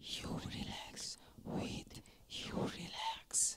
You relax with you relax.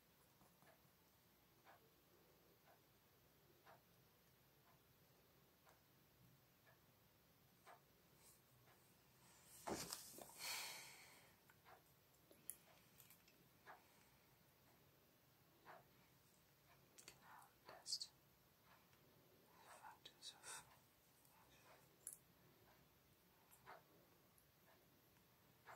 Canal test factors of can you feel any hate?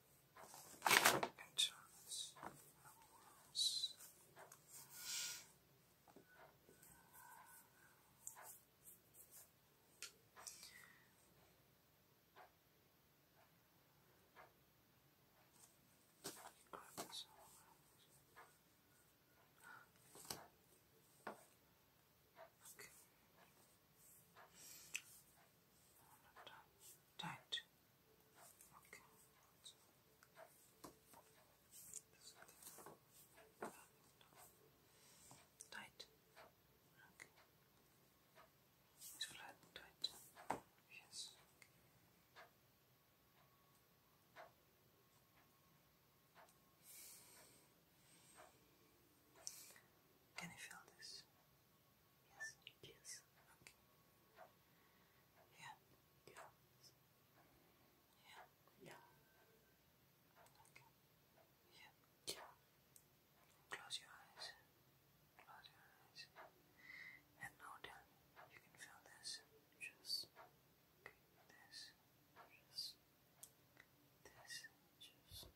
enchantments, owls. Okay tight. Okay. Tight. Okay. It's flat and tight. Yes. Can you feel this? Yes, yes. Yeah, yeah. Yeah, yeah. Okay. Yeah, yeah. Close your eyes. Close your eyes. And now then you can feel this. Just this. Just this. Just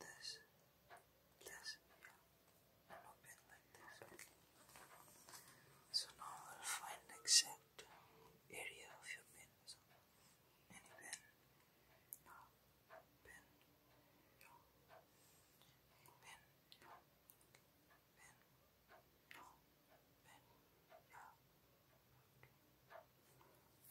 this, this, yeah, a like this. So now we'll find exact area of your pen. So any pen, yeah, pen, yeah, pen, yeah, pen, yeah, yeah.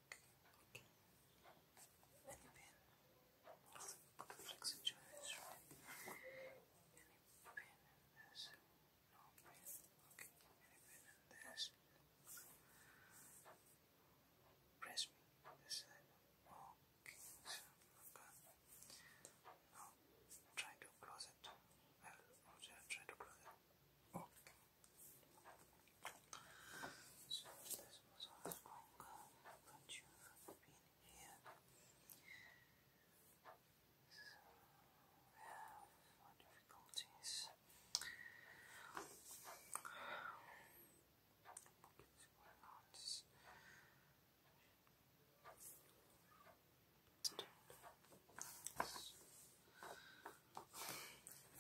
Any pin of the complex enjoys, right? Any pin in this? No pin. Okay, any pin in this? Press me this side. Okay, so Now try to close it. I'll try to close it. Okay. So this was how it's you from being here. we have our difficulties.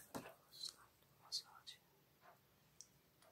Massage. Massage.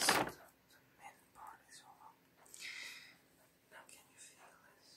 So the, the main part is over. Now can you feel this?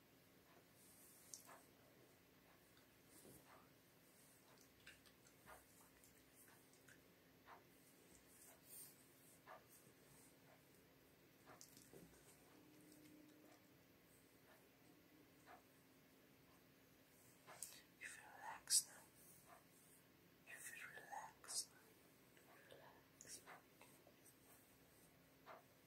You feel relaxed now. You feel relaxed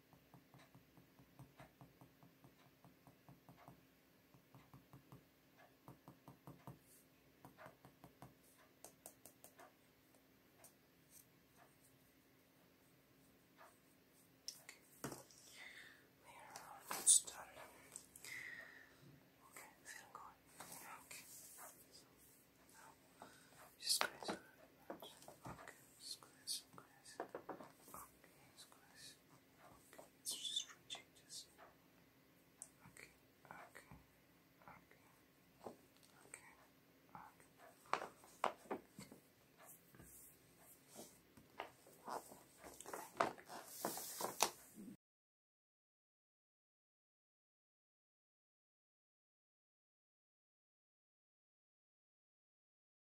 We are almost done. Okay, feeling good. Okay. So now just squeeze. Okay, squeeze, squeeze. Okay. Okay, it's nice. Okay, it's just for changes. Okay, okay, okay, okay, okay.